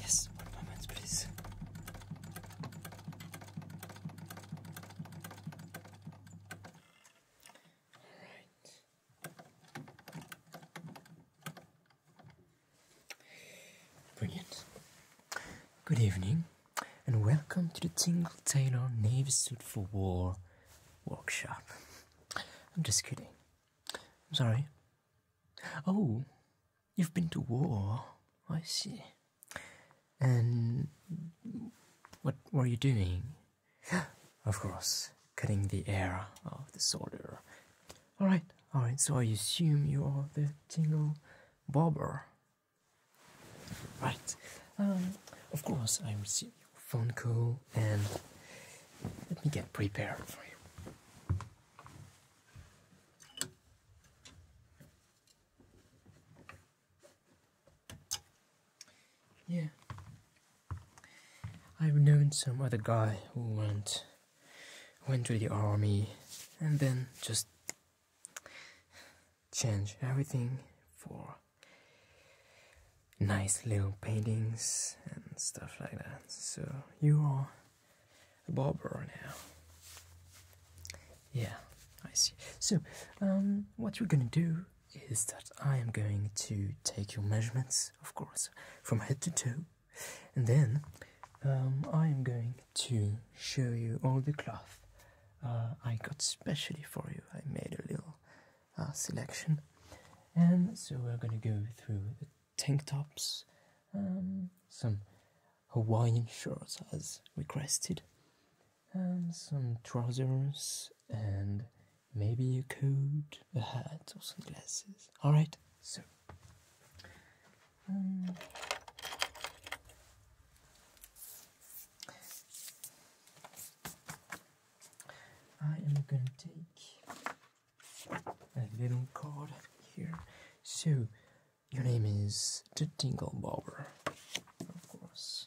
Yes, one moment, please. All right. Brilliant. Good evening and welcome to the Tingle Tailor Navy Suit for War workshop. I'm just kidding. I'm sorry. Oh, you've been to war. I see. And what were you doing? of course, cutting the air of the soldier. Alright, alright, so I assume you are the Tingle Barber. Right. Um, of course, I received your phone call, and let me get prepared for you. Yeah. I've known some other guy who went went to the army and then just changed everything for nice little paintings and stuff like that. So you are a barber now. Yeah, I see. So, um, what we're gonna do is that I am going to take your measurements, of course, from head to toe, and then um, I am going to show you all the cloth uh, I got specially for you. I made a little uh, selection, and so we're gonna go through the tank tops, um, some Hawaiian shirts as requested, and some trousers, and maybe a coat, a hat, or some glasses. All right, so. Um, I am going to take a little card here. So, your name is the Tingle Bobber, of course.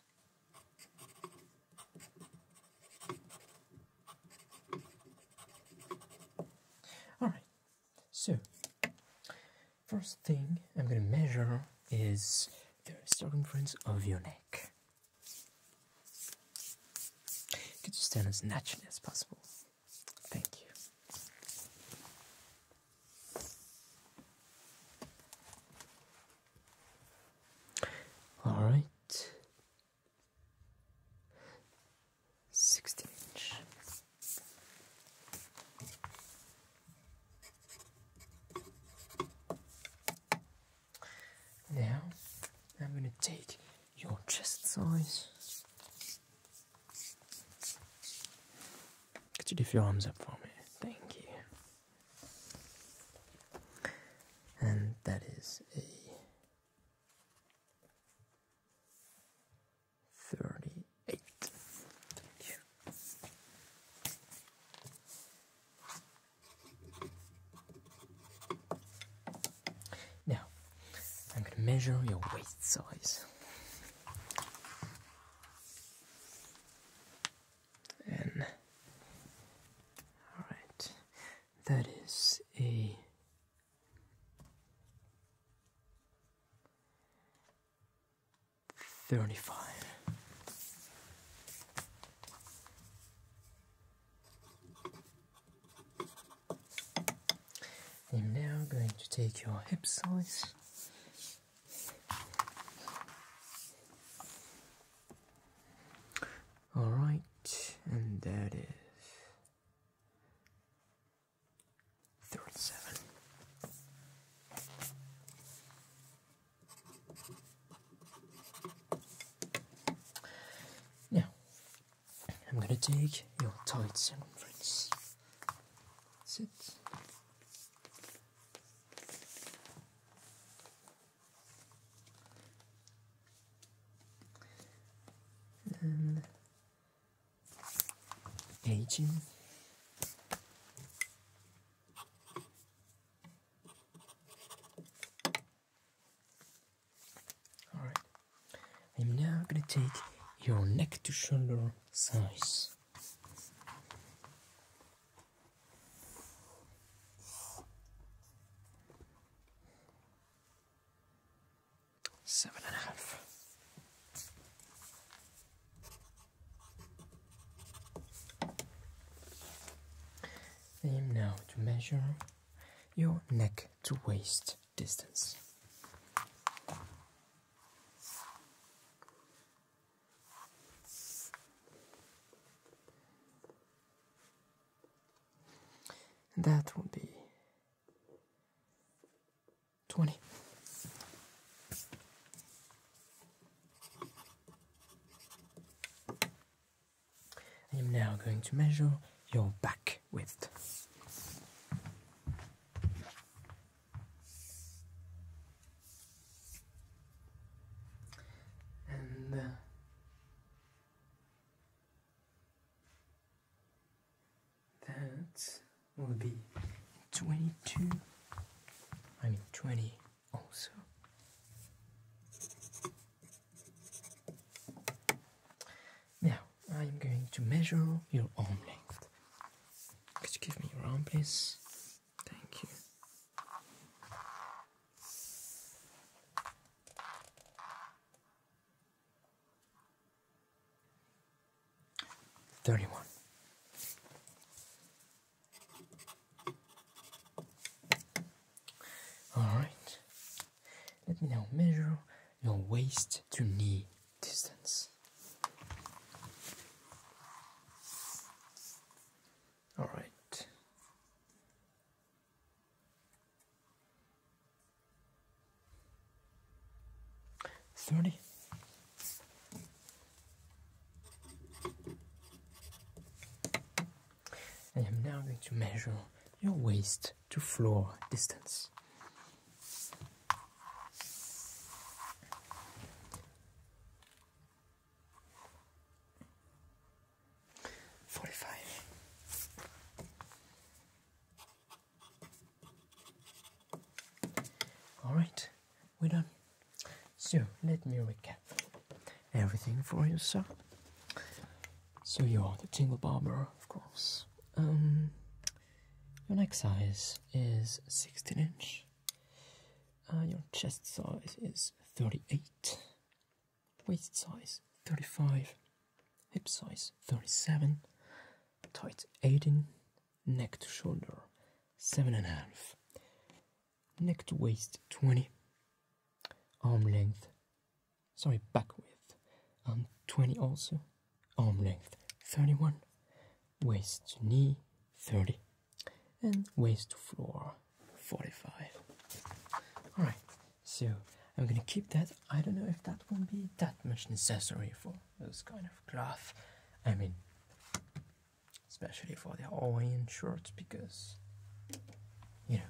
Alright, so first thing I'm gonna measure is the circumference of your neck. Could you stand as naturally as possible? Thank you. All right, sixteen inch. Now I'm going to take your chest size. Could you lift your arms up for me? Thank you. And that is a 38. Now, I'm going to measure your waist size. And, all right, that is a 35. I'm now going to take your hip size. All right, and that is 37. Now, I'm going to take your tight friends. That's it. Alright, I'm now going to take your neck to shoulder size. Seven and a half. Aim now to measure your neck to waist distance. That will be 20. I am now going to measure your back width. And uh, that will be 22, I mean 20 also. Now I'm going to measure your arm length. Could you give me your arm, please? Thank you. Thirty one. Alright, let me now measure your waist to knee distance. Alright. Thirty. I am now going to measure your waist to floor distance. Forty-five. All right, we're done. So let me recap everything for you, sir. So you are the Tingle Barber, of course. Um, your neck size is 16 inch. Uh, your chest size is 38. Waist size 35. Hip size 37. Tight 18. Neck to shoulder 7.5 neck to waist 20, arm length, sorry, back width, um, 20 also, arm length 31, waist to knee 30, and waist to floor 45. Alright, so I'm gonna keep that. I don't know if that will be that much necessary for those kind of cloth. I mean, especially for the Hawaiian shirts because you know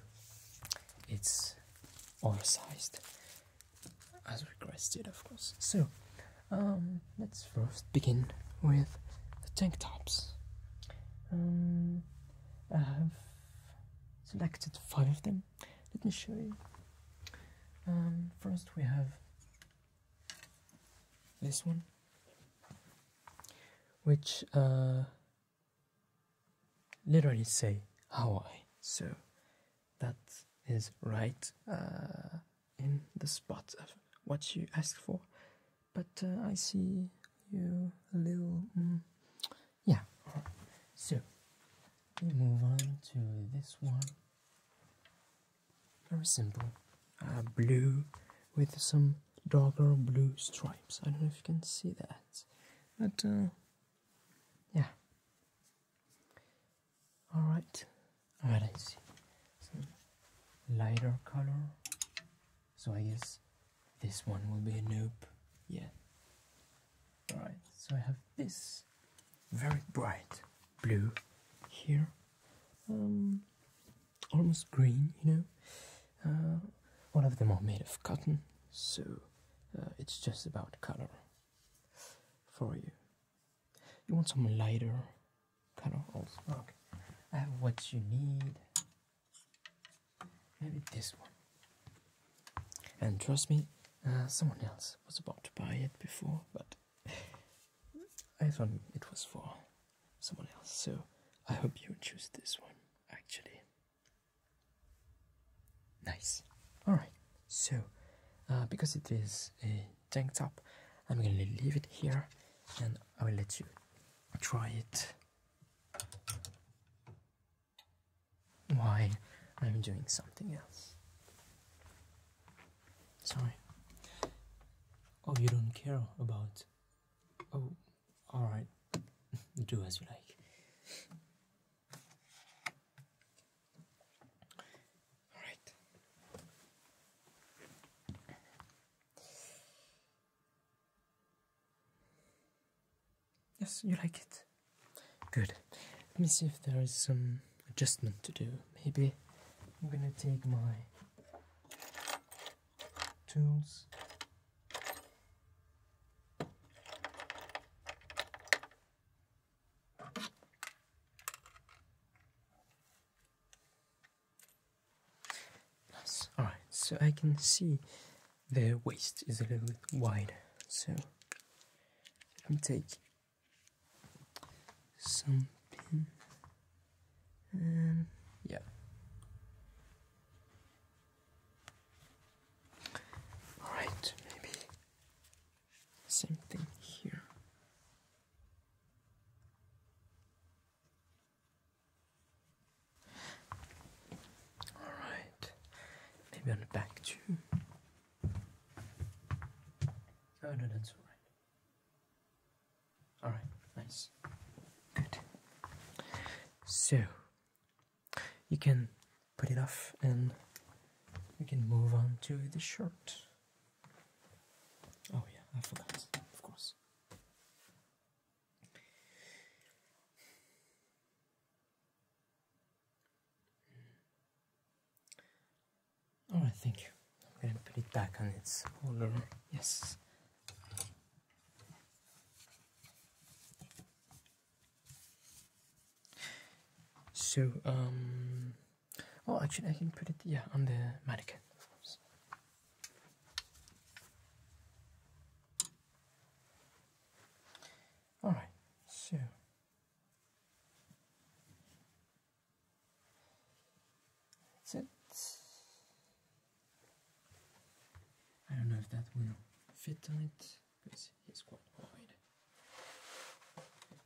it's oversized as requested of course so um, let's first begin with the tank tops um, I have selected five of them let me show you um, first we have this one which uh, literally say how I So that is right uh, in the spot of what you ask for. But uh, I see you a little. Mm, yeah. So we move on to this one. Very simple. Uh, blue with some darker blue stripes. I don't know if you can see that. But, uh, yeah. Alright. Alright, I see. Some lighter color. So I guess this one will be a nope. Yeah. Alright, so I have this very bright blue here. Um, almost green, you know. One uh, of them are made of cotton, so uh, it's just about color for you. You want some lighter kind of old Okay, I have what you need. Maybe this one. And trust me, uh, someone else was about to buy it before, but I thought it was for someone else. So I hope you choose this one actually. Nice. Alright, so uh, because it is a tank top, I'm gonna leave it here and I will let you try it Why I'm doing something else. Sorry. Oh, you don't care about Oh, all right. Do as you like. All right. Yes, you like it. Good. Let me see if there is some adjustment to do. Maybe I'm gonna take my tools nice all right so I can see the waist is a little bit wide so let me take some pin and yeah. Alright, maybe same thing here. Alright, maybe on the back too. Oh no, that's alright. All right, nice. Good. So, you can put it off and we can move on to the shirt. Oh, yeah, I forgot, of course. All right, thank you. I'm gonna put it back on its holder. Yes. So, um, oh, actually, I can put it, yeah, on the mannequin, of course. All right, so that's it. I don't know if that will fit on it because it's quite wide.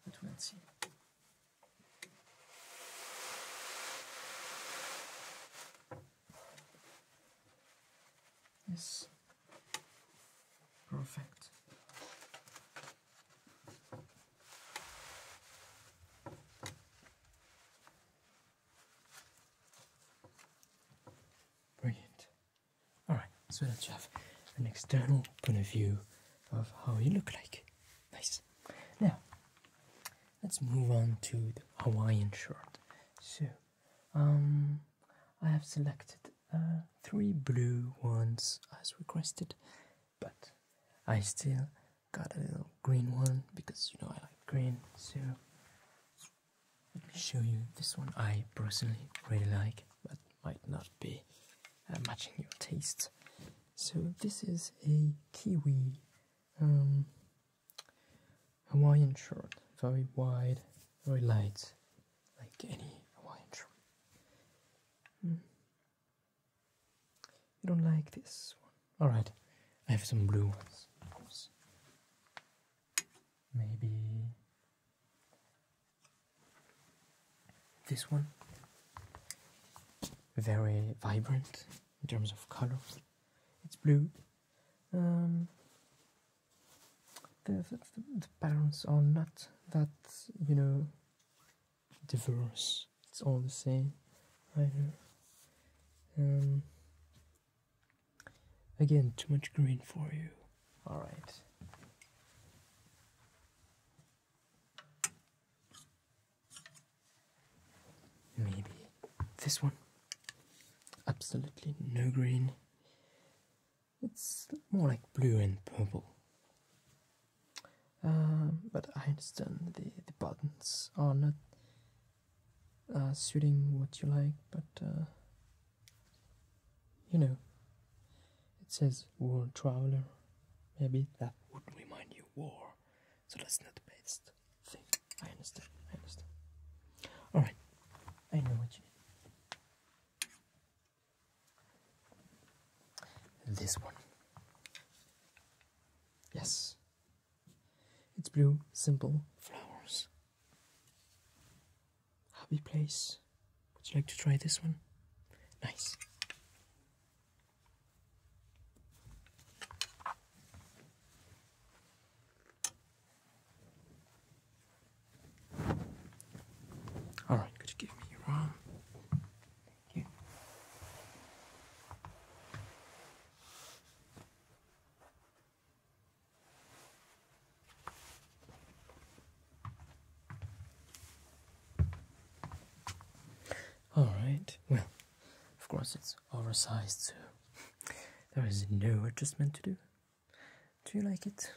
But we'll see. Yes. Perfect. Brilliant. Alright, so that you have an external point of view of how you look like. Nice. Now, let's move on to the Hawaiian shirt. So, um, I have selected uh, three blue ones as requested, but I still got a little green one because you know I like green, so let me show you this one I personally really like, but might not be uh, matching your tastes. So this is a kiwi um, Hawaiian shirt, very wide, very light, like any Hawaiian shirt. Hmm. You don't like this one. Alright, I have some blue ones. Maybe this one. Very vibrant in terms of color. It's blue. Um, the, the patterns are not that, you know, diverse. It's all the same. I know. Um, again, too much green for you. All right. Maybe this one. Absolutely no green. It's more like blue and purple. Um, but I understand the, the buttons are not uh, suiting what you like, but uh, you know, it says World Traveler. Maybe that would remind you war, so that's not the best thing. I understand. I understand. All right, I know what you need. This one. Yes. It's blue, simple flowers. Happy place. Would you like to try this one? Nice. All right, could you give me your arm? All right. Well, of course it's oversized, so there is no adjustment to do. Do you like it?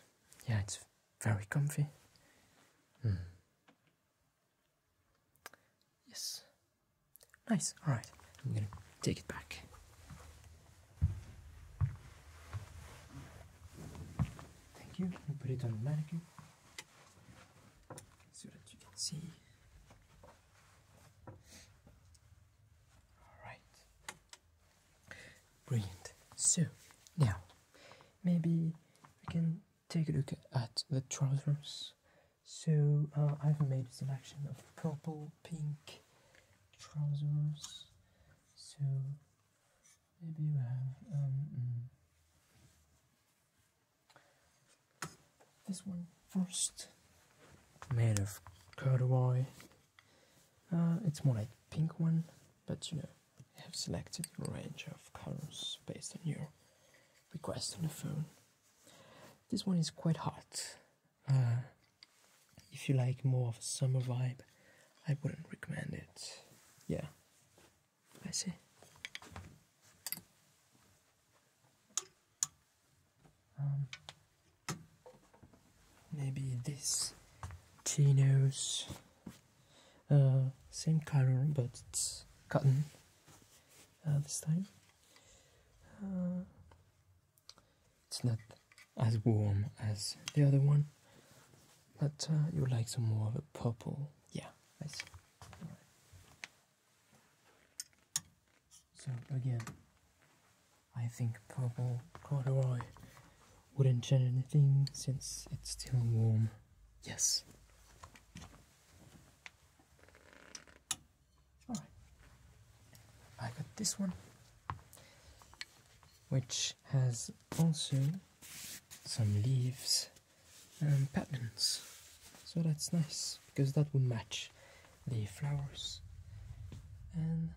Yeah, it's very comfy. Mm. Yes. Nice. All right. I'm going to take it back. Thank you. i put it on the mannequin so that you can see. All right. Brilliant. So, now, maybe we can take a look at the trousers so uh, I've made a selection of purple, pink trousers. So maybe you have um, mm. this one first, made of corduroy. Uh, it's more like pink one, but you know, I have selected a range of colors based on your request on the phone. This one is quite hot. Uh, if you like more of a summer vibe, I wouldn't recommend it. Yeah, I see. Um, maybe this chinos, uh, same color but it's cotton. Uh, this time. Uh, it's not as warm as the other one, but uh, you like some more of a purple. Yeah, I see. So again, I think purple corduroy wouldn't change anything since it's still warm. Yes. All right. I got this one, which has also some leaves and patterns. So that's nice because that will match the flowers and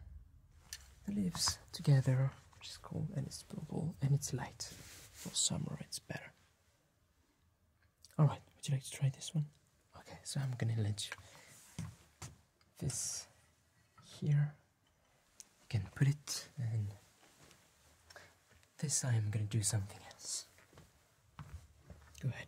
the leaves together, which is cool and it's purple and it's light. For summer, it's better. Alright, would you like to try this one? Okay, so I'm gonna let you this here. You can put it and this I am gonna do something else. Go ahead.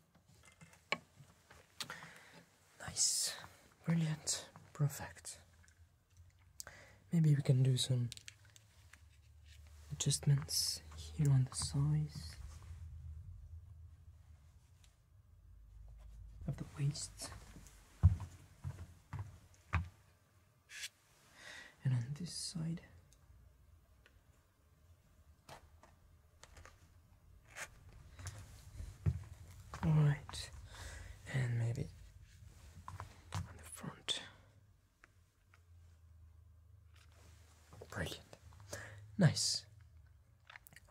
Nice, brilliant, perfect. Maybe we can do some adjustments here on the size of the waist and on this side. Alright, and maybe on the front. Brilliant. Nice.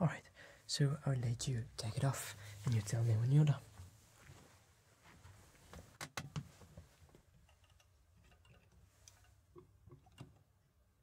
Alright, so I'll let you take it off and you tell me when you're done.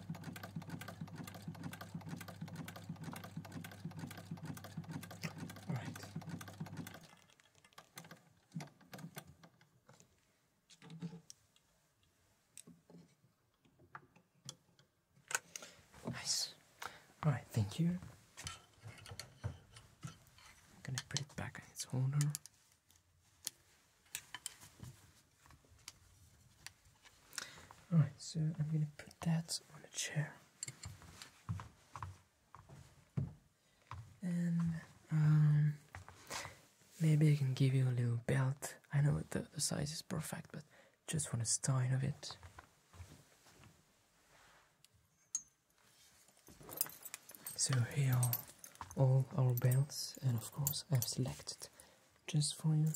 All right. Nice. All right, thank you. I'm gonna put it back in its owner. Alright, so I'm going to put that on a chair. And um, maybe I can give you a little belt. I know the, the size is perfect, but just want a style of it. So here are all our belts, and of course I've selected just for you.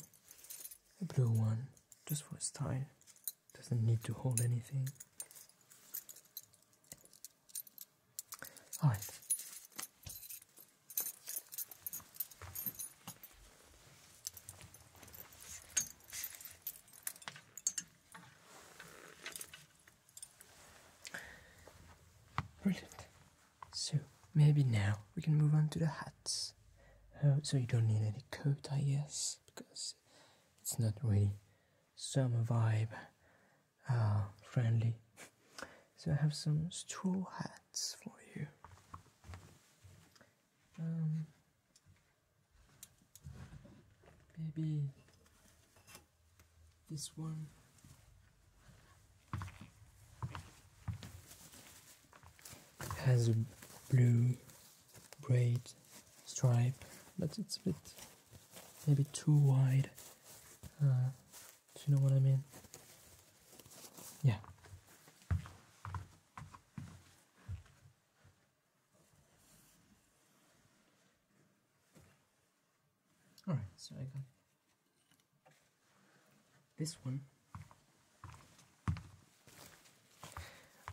A blue one, just for style. Doesn't need to hold anything. Alright. Brilliant. So maybe now we can move on to the hats. Oh, so you don't need any coat, I guess, because it's not really summer vibe Ah, friendly. So I have some straw hats for you. Um, maybe this one has a blue braid stripe, but it's a bit maybe too wide. Uh, do you know what I mean? Yeah. Alright, so I got this one,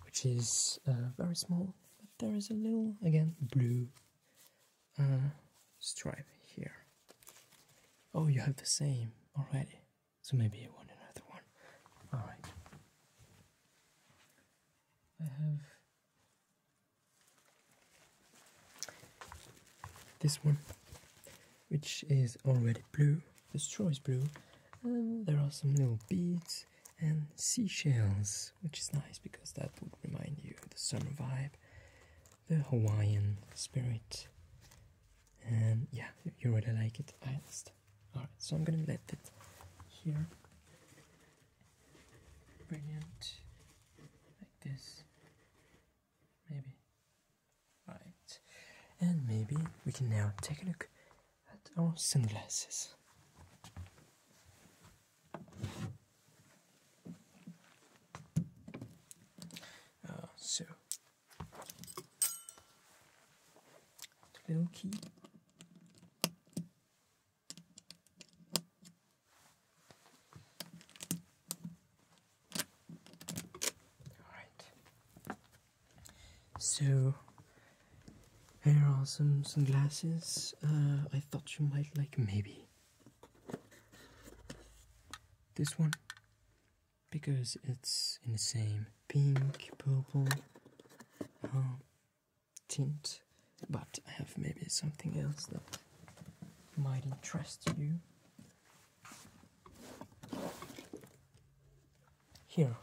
which is uh, very small, but there is a little, again, blue uh, stripe here. Oh, you have the same already, so maybe I want another one. Alright. I have this one, which is already blue, the straw is blue, and um, there are some little beads and seashells, which is nice because that would remind you of the summer vibe, the Hawaiian spirit. And yeah, you really like it. I understand. Alright, so I'm gonna let it here. Brilliant. Like this. Maybe. Right. And maybe we can now take a look at our sunglasses. Uh, so, the key. Alright. So, here are some sunglasses uh, I thought you might like, maybe. This one, because it's in the same pink, purple uh, tint, but I have maybe something else that might interest you. Here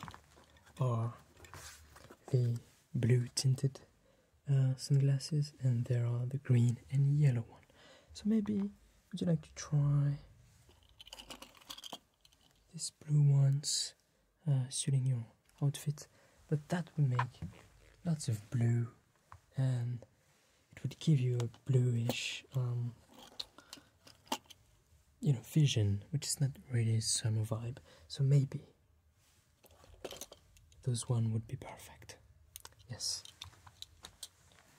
are the blue tinted uh, sunglasses, and there are the green and yellow one. So maybe would you like to try these blue ones uh, your outfit? But that would make lots of blue and it would give you a bluish um, you know vision which is not really summer vibe so maybe those one would be perfect yes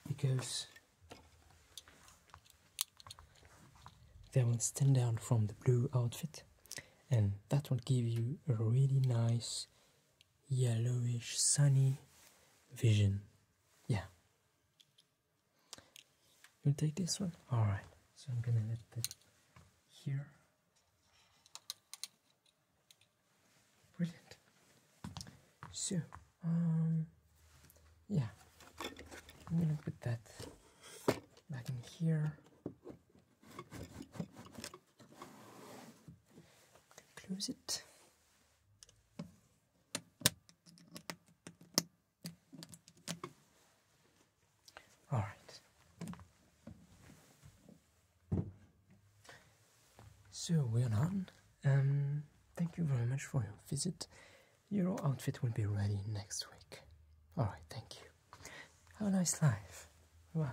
because they will stand out from the blue outfit and that will give you a really nice yellowish sunny vision. Yeah. You take this one? Alright. So I'm gonna let that here. Brilliant. So, um, yeah, I'm gonna put that back in here. Close it. All right. So we're done. Um, thank you very much for your visit. Your outfit will be ready next week. All right, thank you. Have a nice life. Bye.